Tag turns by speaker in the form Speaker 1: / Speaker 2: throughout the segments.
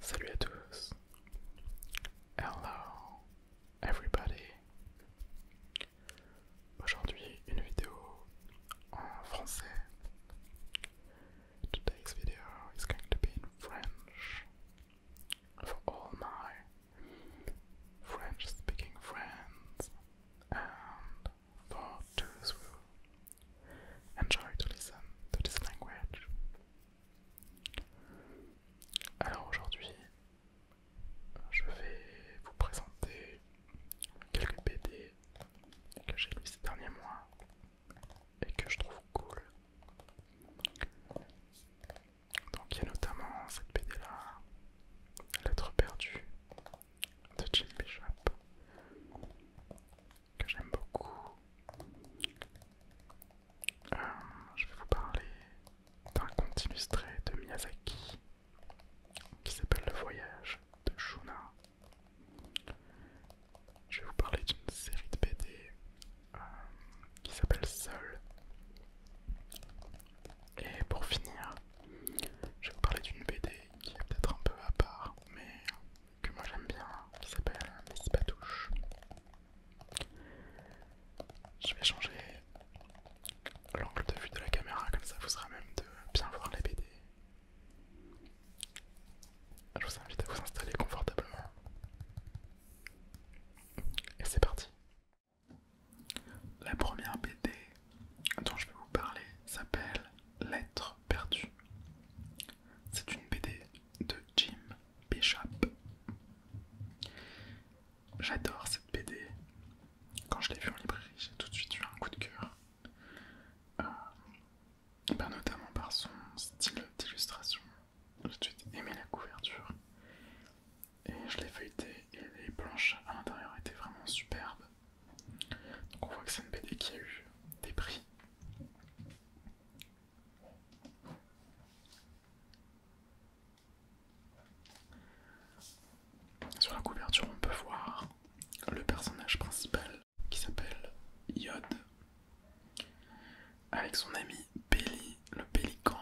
Speaker 1: Salut à tous. Hello everybody. Aujourd'hui une vidéo en français. Today's video is going to be in French for all my French speaking friends and for those who enjoy to listen to this language. Alors aujourd'hui, je vais vous présenter quelques BD que j'ai lu ces derniers mois et que je trouve cool. Donc il y a notamment cette BD là, Lettre perdue de Jim Bishop, que j'aime beaucoup. Euh, je vais vous parler d'un conte illustré de Miyazaki qui s'appelle Le Voyage de Shuna. Je vais vous parler d'une série de BD euh, qui s'appelle Seul. Et pour finir, je vais vous parler d'une BD qui est peut-être un peu à part, mais que moi j'aime bien, qui s'appelle Miss Patouche. Je vais changer l'angle de vue de la caméra, comme ça vous sera même de bien voir les BD. Je vous invite à vous installer confortablement. Et c'est parti. La première BD dont je vais vous parler s'appelle L'être perdu ». C'est une BD de Jim Bishop. J'adore cette BD. Quand je l'ai vue en librairie, j'ai tout de suite eu un coup de cœur. Euh, bah, notamment par son style d'illustration. J'ai tout de suite aimé la couverture. Et je l'ai feuilletée et les planches à l'intérieur étaient vraiment superbes. Donc on voit que c'est une BD qui a eu des prix. Sur la couverture, on peut voir le personnage principal qui s'appelle Yod, avec son ami Belly, le pélican,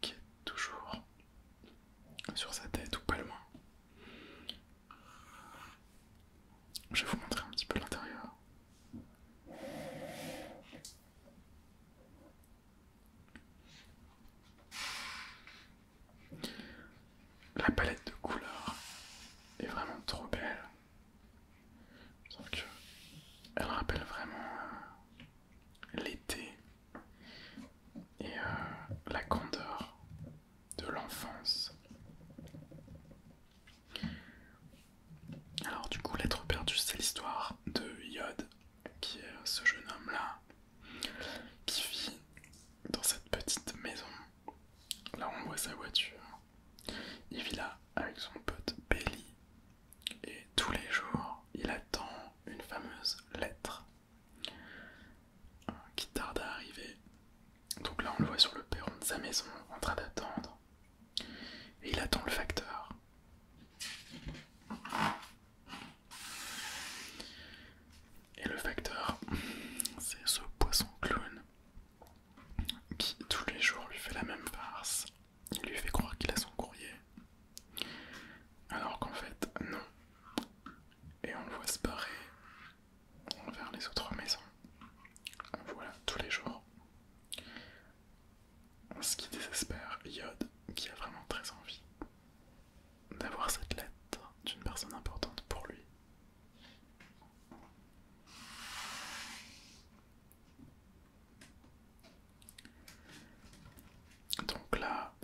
Speaker 1: qui est toujours sur sa tête ou pas loin. Je vais vous montrer un petit peu l'intérieur. La palette de couleurs est vraiment trop belle. elle rappelle vraiment euh, l'été et euh, la candeur de l'enfance. Alors du coup, l'être perdu, c'est l'histoire de Yod, qui est ce jeune homme-là, qui vit dans cette petite maison. Là, on voit sa voiture. Il vit là avec son pote Belly. Et tous les jours, il attend une fameuse lettre qui tarde à arriver. Donc là, on le voit sur le perron de sa maison en train d'attendre. Et il attend le facteur. Et le facteur, c'est ce poisson clown qui tous les jours lui fait la même farce. Il lui fait croire qu'il a son courrier. Alors qu'en fait, non. Et on le voit se barrer vers les autres maisons. Voilà, tous les jours. Ce qui désespère Yod, qui a vraiment très envie d'avoir cette lettre d'une personne importante pour lui. Donc là,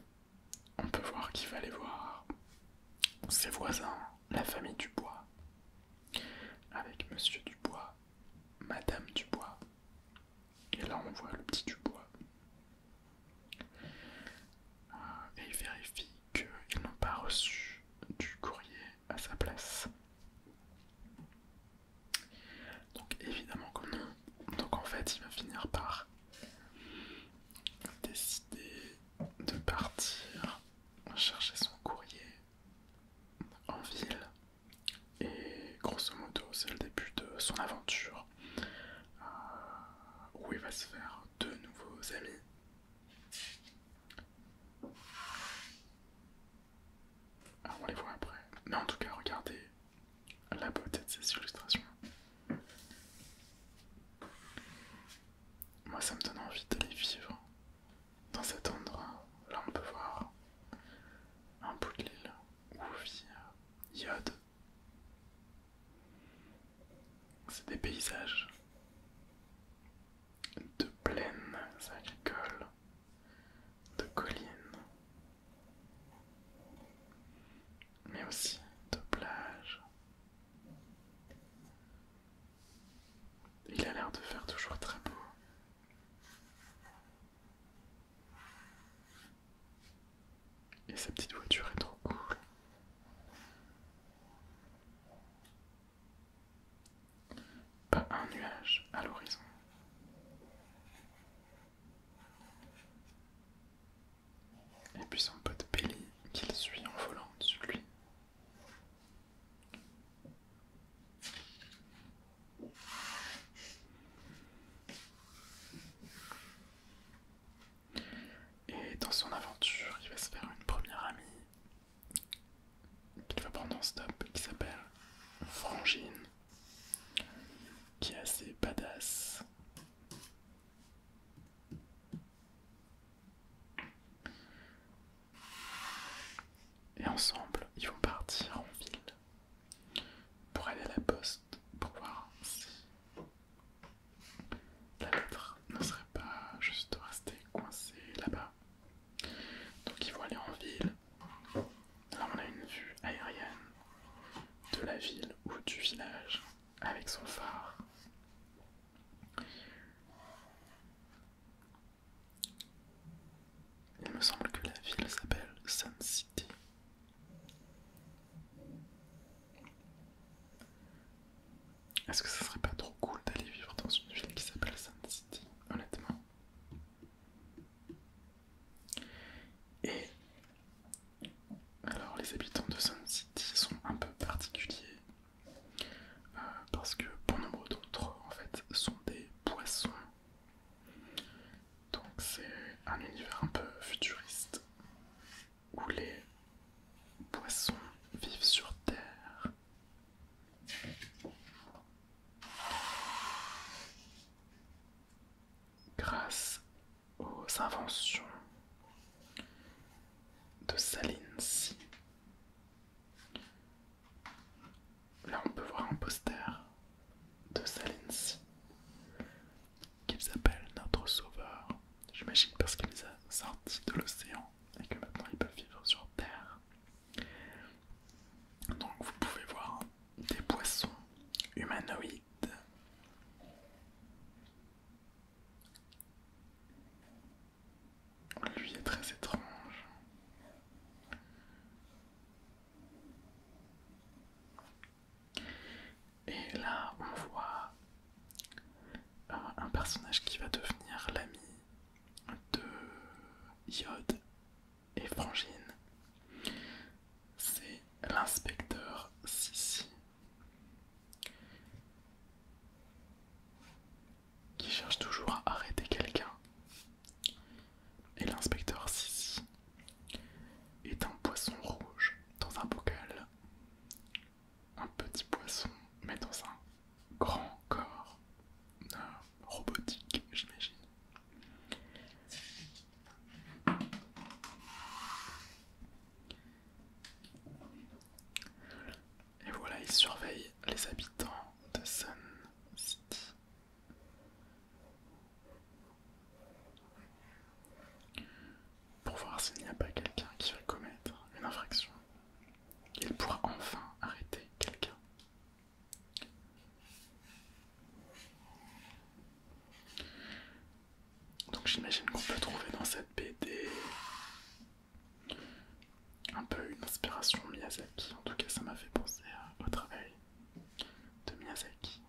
Speaker 1: on peut voir qu'il va aller voir ses voisins, la famille Dubois, avec Monsieur Dubois, Madame Dubois, et là on voit le petit Dubois. Euh, et il vérifie qu'ils n'ont pas reçu du courrier à sa place. Donc évidemment que non. Donc en fait il va finir par décider de partir chercher son courrier en ville et grosso modo c'est le début de son aventure euh, où il va se faire de nouveaux amis. on les voit après. Mais en tout cas regardez la beauté de ces illustrations. Moi, ça me donne envie d'aller vivre dans cet endroit. Là, on peut voir un bout de l'île où vit euh, Yod. C'est des paysages de plaines agricoles, de collines, mais aussi de plages il a l'air de faire toujours très beau. Et sa petite voiture est trop cool. Pas un nuage à l'horizon. Et puis son pote Billy qu'il suit en volant dessus de lui. Et dans son aventure, il va se faire une première amie qu'il va prendre en stop qui s'appelle Frangine, qui est assez badass. Et ensemble, ils vont partir en ville pour aller à la poste pour voir si la lettre ne serait pas juste restée coincée là-bas. Donc ils vont aller en ville. Là on a une vue aérienne de la ville ou du village avec son phare. Il me semble que la ville s'appelle Sun City. Est-ce que ça serait pas trop cool d'aller vivre dans une ville qui s'appelle Sun City, honnêtement Et alors les habitants de Sun City sont un peu particuliers euh, parce que bon nombre d'autres, en fait sont des poissons. Donc c'est un univers un peu futuriste où les poissons vivent sur Terre. Grâce aux inventions de Si Là on peut voir un poster de Sea, qu'ils appellent notre sauveur. J'imagine parce qu'il les a sortis de l'océan et que maintenant ils peuvent vivre sur Terre. Donc vous pouvez voir des poissons humanoïdes lui est très étrange. Et là, on voit euh, un personnage qui va devenir l'ami de Yod et Frangine. C'est l'inspecteur Sissi qui cherche toujours à arrêter quelqu'un. Et l'inspecteur Sisi est un poisson rouge dans un bocal. Un petit poisson, mais dans un grand corps robotique, j'imagine. Et voilà, il surveille les habitants de Sun City. Pour voir s'il n'y a pas quelqu'un qui va commettre une infraction, il pourra enfin arrêter quelqu'un. Donc j'imagine qu'on peut trouver dans cette BD un peu une inspiration Miyazaki. En tout cas, ça m'a fait penser au travail de Miyazaki.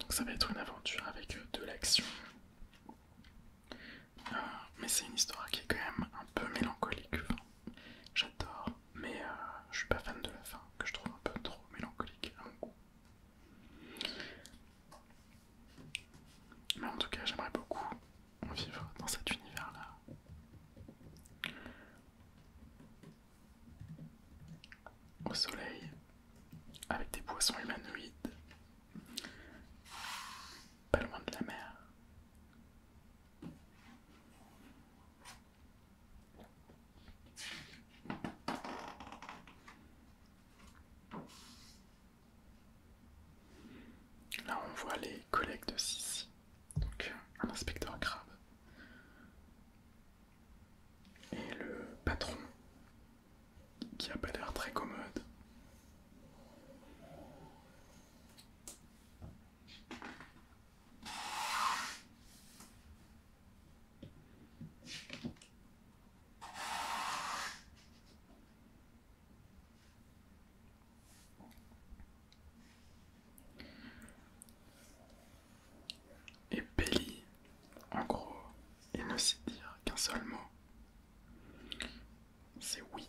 Speaker 1: Donc ça va être une aventure avec de l'action. Euh, mais c'est une histoire qui est quand même un peu mélancolique. J'adore mais euh, je suis pas fan de la fin, que je trouve un peu trop mélancolique à mon goût. Mais en tout cas, j'aimerais beaucoup vivre dans cet univers-là. Au soleil, avec des poissons humanoïdes, pas loin de la mer. Là on voit les collègues de Sissi, donc un inspecteur crabe et le patron qui a pas l'air très commode. Et Belly, en gros, il ne sait dire qu'un seul mot. C'est oui.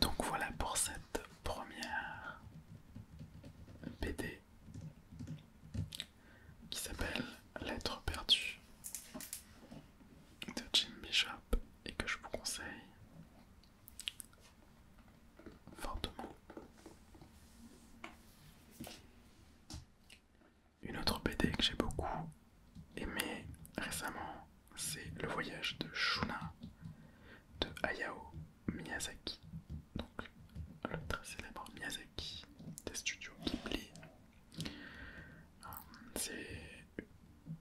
Speaker 1: Donc voilà pour cette première BD qui s'appelle Lettres perdues de Jim Bishop et que je vous conseille fortement. Une autre BD que j'ai beaucoup aimée récemment c'est le voyage de Shuna de Hayao Miyazaki. Donc le très célèbre Miyazaki des studios Ghibli. Euh, c'est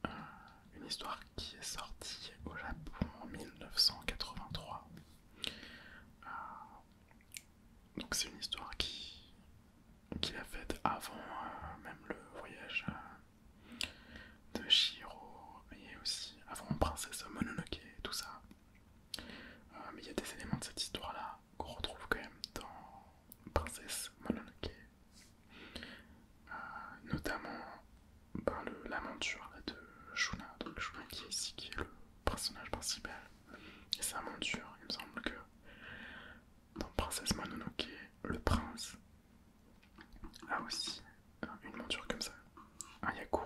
Speaker 1: euh, une histoire qui est sortie au Japon en 1983. Euh, donc c'est une histoire qui, qui faite avant même le voyage de Shiro, et aussi avant Princesse Mononoke, tout ça. Euh, mais il y a des éléments de cette histoire-là qu'on retrouve quand même dans Princesse Mononoke. Euh, notamment notamment la monture de Shuna, donc Shuna qui est ici, qui est le personnage principal. Et sa monture, il me semble que dans Princesse Mononoke, le prince ah aussi euh, une monture comme ça, un Yakuru.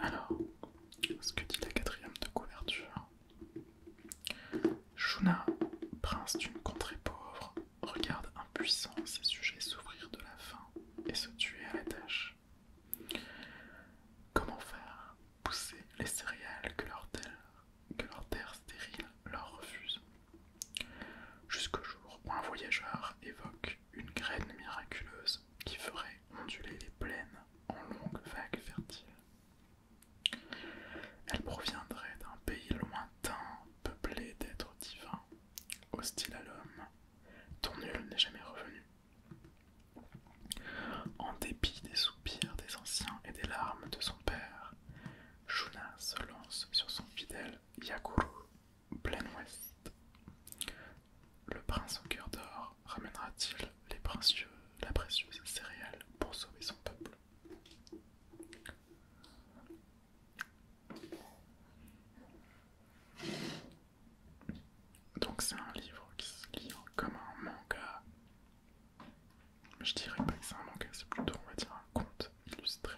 Speaker 1: Alors, ce que dit la quatrième de couverture Shuna, prince d'une contrée pauvre, regarde impuissant ses sujets s'ouvrir de la faim et se tuer à la tâche. Comment faire pousser les céréales que leur terre que leur terre stérile leur refuse. Jusqu'au jour où un voyageur évoque une graine miraculeuse qui ferait onduler les plaines en longues vagues fertiles. Elle proviendrait d'un pays lointain, peuplé d'êtres divins, hostiles à l'homme, dont nul n'est jamais revenu. En dépit des soupirs des anciens et des larmes de son père, Shuna se lance sur son fidèle Yakuru, plein ouest. Le prince au cœur d'or ramènera-t-il les précieux, la précieuse céréale pour sauver son peuple Donc c'est un livre qui se lit comme un manga je dirais pas que c'est un manga, c'est plutôt, on va dire, un conte illustré.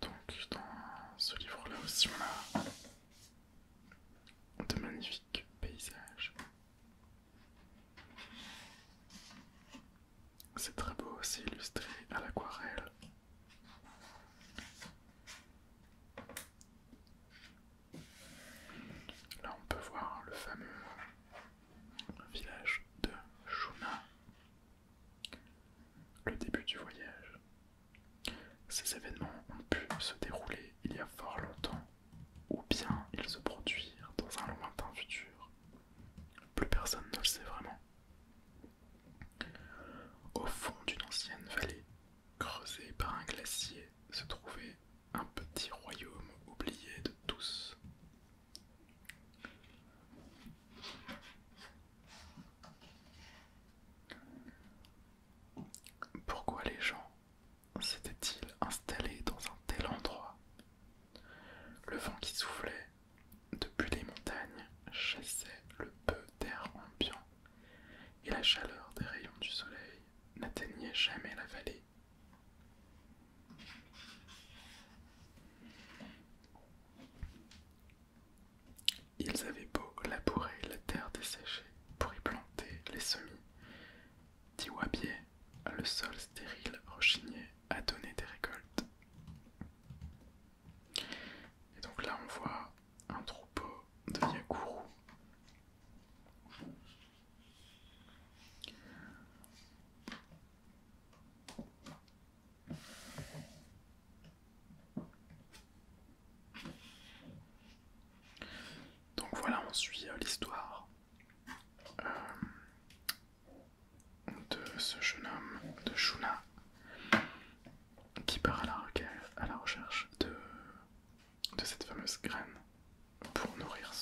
Speaker 1: Donc, dans ce livre-là aussi, on a de magnifiques paysages c'est très beau aussi illustré à l'aquarelle. Là on peut voir le fameux village de Shuna, le début du voyage. Ces événements ont pu se dérouler il y a fort longtemps, ou bien ils se produirent dans un lointain futur. Plus personne ne le sait vraiment. Au fond d'une ancienne vallée, creusée par un glacier, se trouvait un petit royaume oublié de tous. Pourquoi les gens s'étaient-ils installés dans un tel endroit Le vent qui soufflait depuis les montagnes, chassait le peu d'air ambiant, et la chaleur des rayons du soleil n'atteignait jamais la vallée. Ils avaient beau labourer la terre desséchée pour y planter les semis. Tiwabier, le sol stérile, rechignait à donner des récoltes. Et donc là, on voit un troupeau de Yakuru. Donc voilà, on suit euh, l'histoire euh, de ce jeune homme de Shuna qui part à la, recherche de, cette fameuse graine pour nourrir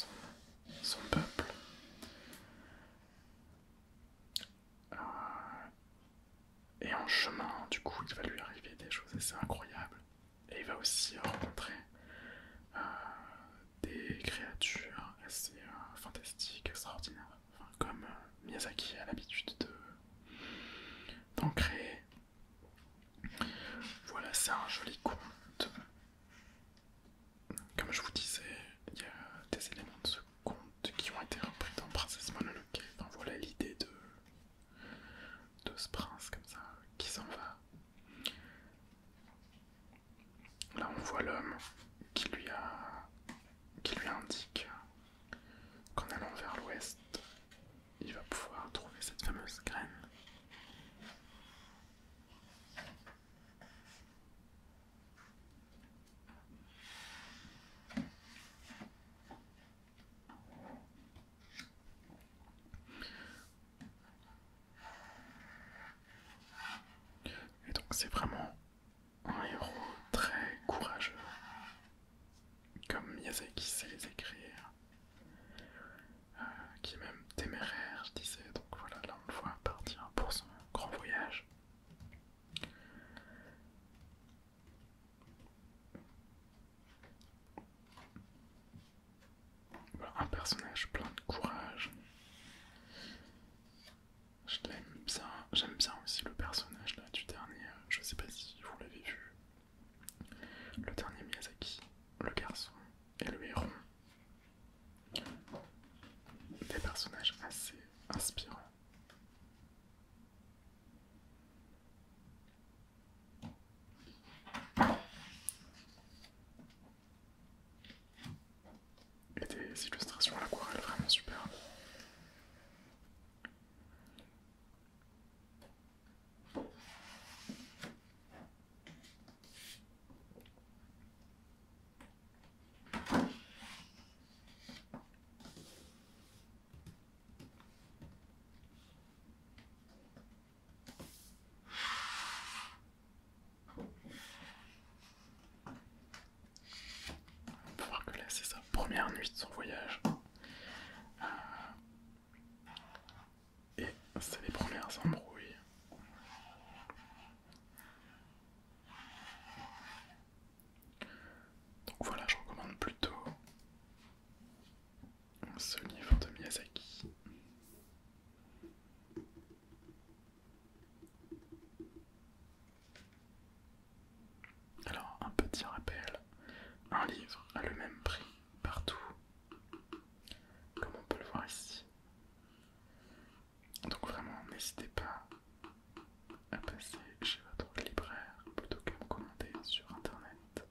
Speaker 1: son, peuple. Euh, et en chemin, du coup, il va lui arriver des choses assez incroyables. Et il va aussi rencontrer euh, des créatures assez euh, fantastiques, extraordinaires comme euh, Miyazaki a l'habitude d'en créer. Voilà, c'est un joli conte. Comme je vous disais, il y a des éléments de ce conte qui ont été repris dans Princesse Mononoke. Enfin voilà l'idée de, de ce prince comme ça qui s'en va. Là on voit l'homme qui lui a qui indique qu'en allant vers l'ouest, il va pouvoir trouver cette fameuse graine. Et donc c'est vraiment un héros très courageux, comme Miyazaki sait les écrire, euh, qui est même téméraire, je disais, donc voilà, là on le voit partir pour son grand voyage. Voilà, un personnage plein de courage j'aime bien aussi le personnage là du dernier, euh, je sais pas si vous l'avez vu, le dernier Miyazaki, le garçon et le héros, Des personnages assez inspirants et des illustrations à l'aquarelle vraiment super. On peut voir que là c'est sa première nuit de son voyage. Euh, et c'est les premières embrouilles. Donc voilà, je recommande plutôt ce livre de Miyazaki. Alors, un petit rappel, un livre a le même prix partout, comme on peut le voir ici. Donc vraiment, n'hésitez pas à passer chez votre libraire plutôt qu'à me commander sur internet.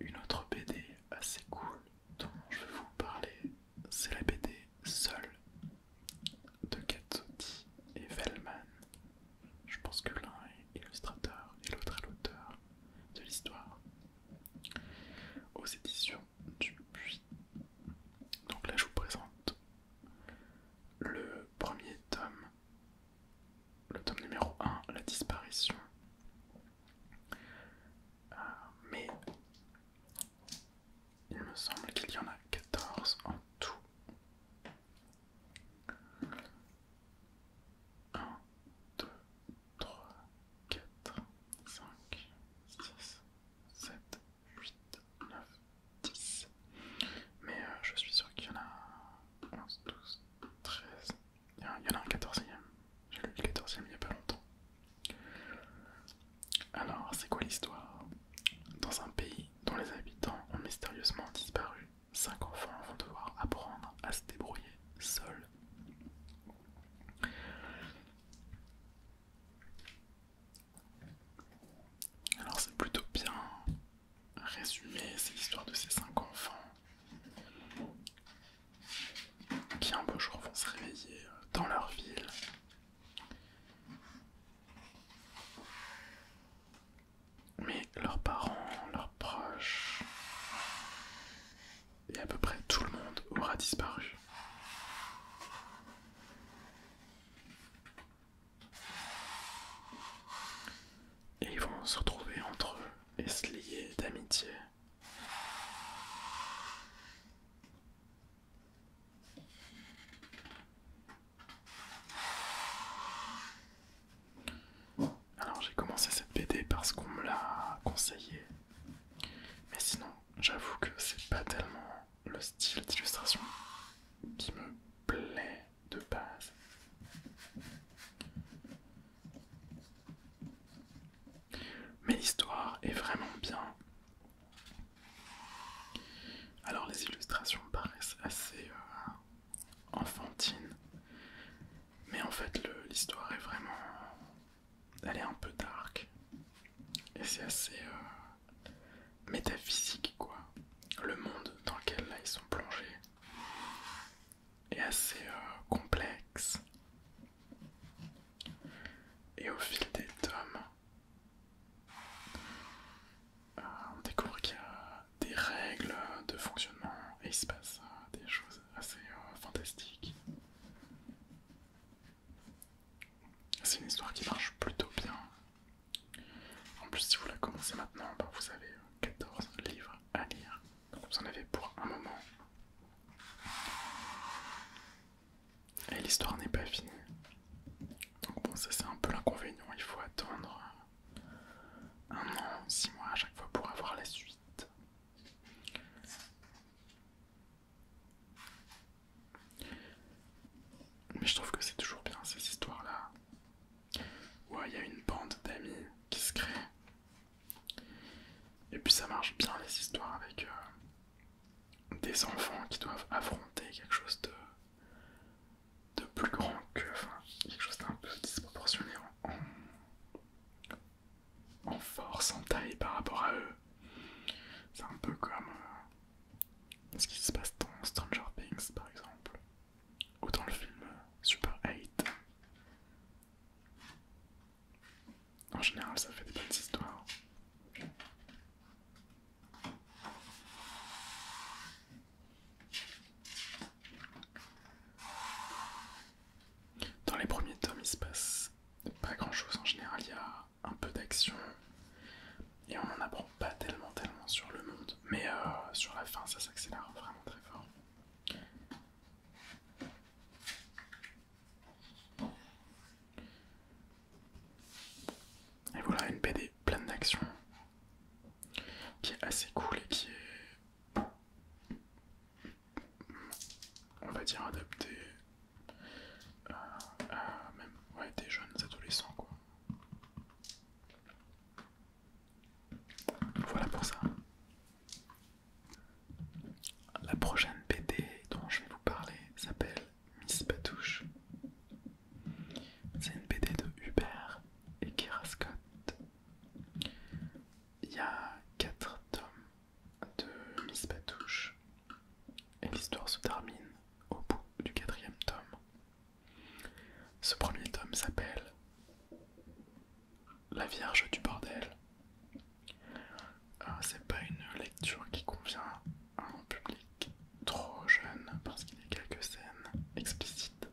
Speaker 1: Une autre BD assez cool dont je vais vous parler, c'est la BD Seul de Katsuki et Vellman. Je pense que l'un est illustrateur et l'autre est l'auteur de l'histoire. Aux éditions du Puy. Donc là, je vous présente le premier tome le tome numéro 1, La disparition. Euh, mais il me semble qu'il y en a 14 en tout. 1, 2, 3, 4, 5, 6, 7, 8, 9, 10. Mais euh, je suis sûr qu'il y en a 11, 12, 13, il y, en a un 14ème. J'ai lu le 14 e il n'y a pas longtemps. Alors, c'est quoi l'histoire Dans un pays dont les habitants ont mystérieusement disparu, cinq enfants vont devoir apprendre à se débrouiller seuls. Alors c'est plutôt bien résumé, c'est l'histoire de ces cinq enfants qui un beau jour vont se réveiller euh, dans leur ville. Mais leurs parents, leurs proches et à peu près tout le monde aura disparu. Et ils vont se retrouver entre eux et se lier d'amitié. Alors j'ai commencé cette BD parce qu'on me l'a conseillé. Mais sinon, j'avoue que c'est pas tellement le style d'illustration qui me plaît de base. Mais l'histoire est vraiment bien. Alors les illustrations paraissent assez euh, enfantines, mais en fait l'histoire est vraiment... Elle est un peu dark. Et c'est assez euh, métaphysique quoi. Le monde dans lequel ils sont plongés et assez euh, complexe. Et au fil des tomes, euh, on découvre qu'il y a des règles de fonctionnement et il se passe euh, des choses assez fantastiques. C'est une histoire qui marche plutôt bien. En plus, si vous la commencez maintenant, bah, vous avez 14 livres à lire vous en avez pour un moment. Et l'histoire n'est pas finie. Donc bon, ça c'est un peu l'inconvénient, il faut attendre un an, six mois à chaque fois pour avoir la suite. Mais je trouve que c'est toujours bien ces histoires-là. Ouais, il y a une bande d'amis qui se crée. Et puis ça marche bien les histoires avec euh, des enfants qui doivent affronter quelque chose de, plus grand que, enfin, quelque chose d'un peu disproportionné en, force, en taille par rapport à eux. C'est un peu comme euh, ce qui se passe dans Stranger Things par exemple ou dans le film Super 8. En général, ça fait des bonnes histoires. Dans les premiers tomes, il se passe pas grand chose en général, il y a un peu d'action et on n'en apprend pas tellement, tellement sur le monde, mais euh, sur la fin, ça s'accélère vraiment très fort. Et voilà une BD pleine d'action qui est assez cool et qui est on va dire adaptée à même des jeunes adolescents quoi. Voilà pour ça. La prochaine BD dont je vais vous parler s'appelle Miss Batouche. C'est une BD de Hubert et Kera Scott. Il y a 4 tomes de Miss Batouche et l'histoire se termine au bout du quatrième tome. Ce premier tome s'appelle La Vierge du Bordel. Euh, c'est pas une lecture qui convient à un public trop jeune parce qu'il y a quelques scènes explicites.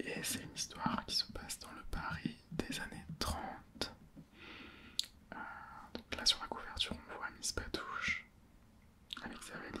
Speaker 1: Et c'est une histoire qui se passe dans le Paris des années 30. Euh, donc là sur la couverture on voit Miss Patouche avec sa valise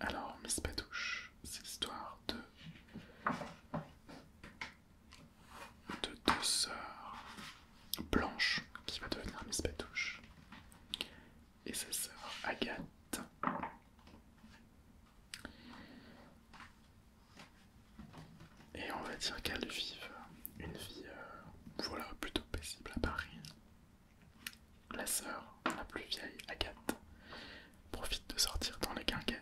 Speaker 1: Alors, Miss Patouche, c'est l'histoire de... deux sœurs Blanche, qui va devenir Miss Patouche, et sa sœur Agathe. Et on va dire qu'elles vivent une vie, euh, plutôt paisible à Paris. La sœur, la plus vieille Agathe, profite de sortir dans les quinquettes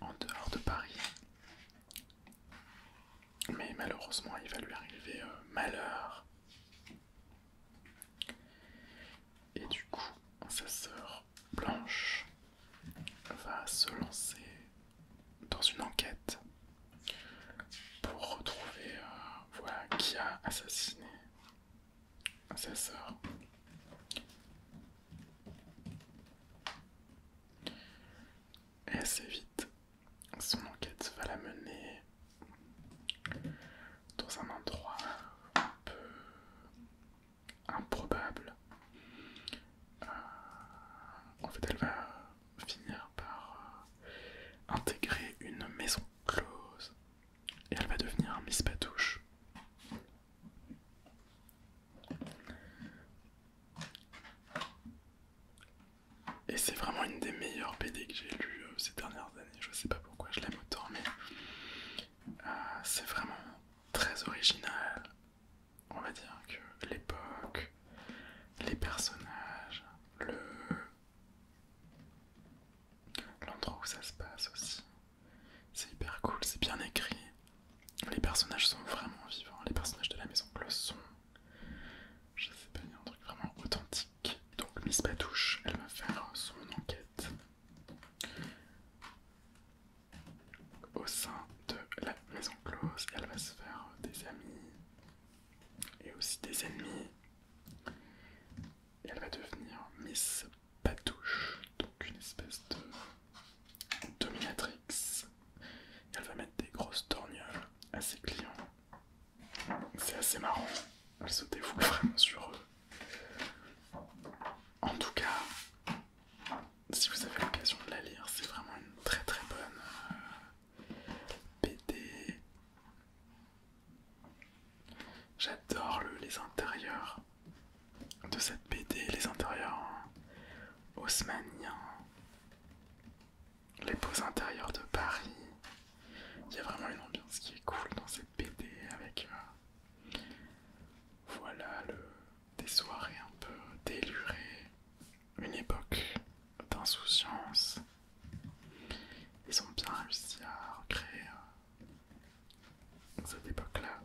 Speaker 1: En dehors de Paris. Mais malheureusement, il va lui arriver euh, malheur. Et du coup, sa sœur Blanche va se lancer dans une enquête pour retrouver euh, qui a assassiné sa sœur. Et assez vite, son enquête va la mener dans un endroit un peu improbable. Euh, en fait, elle va finir par euh, intégrer une maison close et elle va devenir Miss Patouche. Et c'est vraiment une des meilleures BD que j'ai lues euh, ces dernières années. Je sais pas pourquoi je l'aime autant, mais euh, c'est vraiment très original, on va dire que l'époque, les personnages, le l'endroit où ça se passe aussi, c'est hyper cool, c'est bien écrit. Les personnages sont vraiment vivants, les personnages de la maison le sont. Je sais pas, il y a un truc vraiment authentique. Donc Miss Patouche, elle va faire son enquête au sein de la maison close. Elle va se faire des amis et aussi des ennemis. Et elle va devenir Miss Patouche, donc une espèce de dominatrix. elle va mettre des grosses torgnoles à ses clients. C'est assez marrant, elle se dévoue vraiment sur eux. En tout cas, si vous avez l'occasion de la lire, c'est vraiment une très très bonne euh, BD. J'adore les intérieurs de cette BD, les intérieurs haussmanniens, les beaux intérieurs de Paris. Il y a vraiment une ambiance qui est cool dans cette BD avec euh, voilà le, des soirées un peu délurées une époque d'insouciance. Ils ont bien réussi à recréer euh, cette époque-là.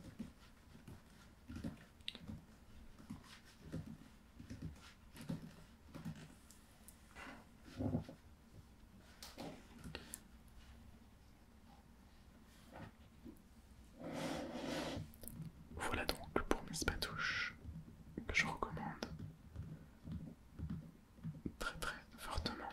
Speaker 1: Voilà donc pour mes spatouches que je recommande très très fortement.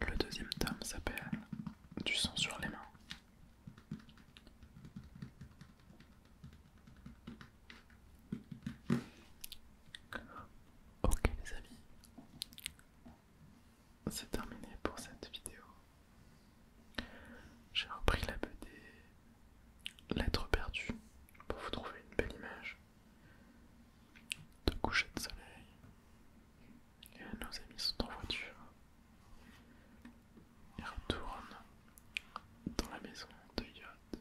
Speaker 1: Le deuxième tome s'appelle Du sang sur les mains. Ok les amis, c'est terminé pour cette vidéo. J'ai repris la BD Lettre perdues pour vous trouver une belle image de coucher de soleil. Et nos amis sont en voiture. et retournent dans la maison de yacht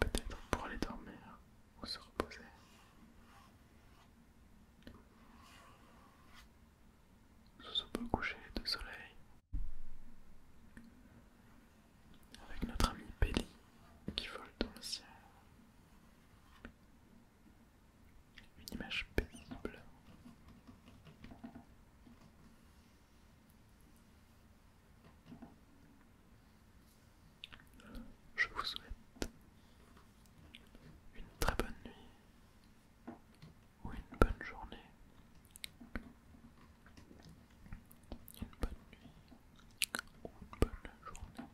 Speaker 1: peut-être pour aller dormir ou se reposer. Sous ce beau coucher de soleil, avec notre ami Belly qui vole dans le ciel. Une image paisible. Je vous souhaite une très bonne nuit ou une bonne journée. Une bonne nuit ou une bonne journée.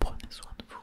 Speaker 1: Prenez soin de vous.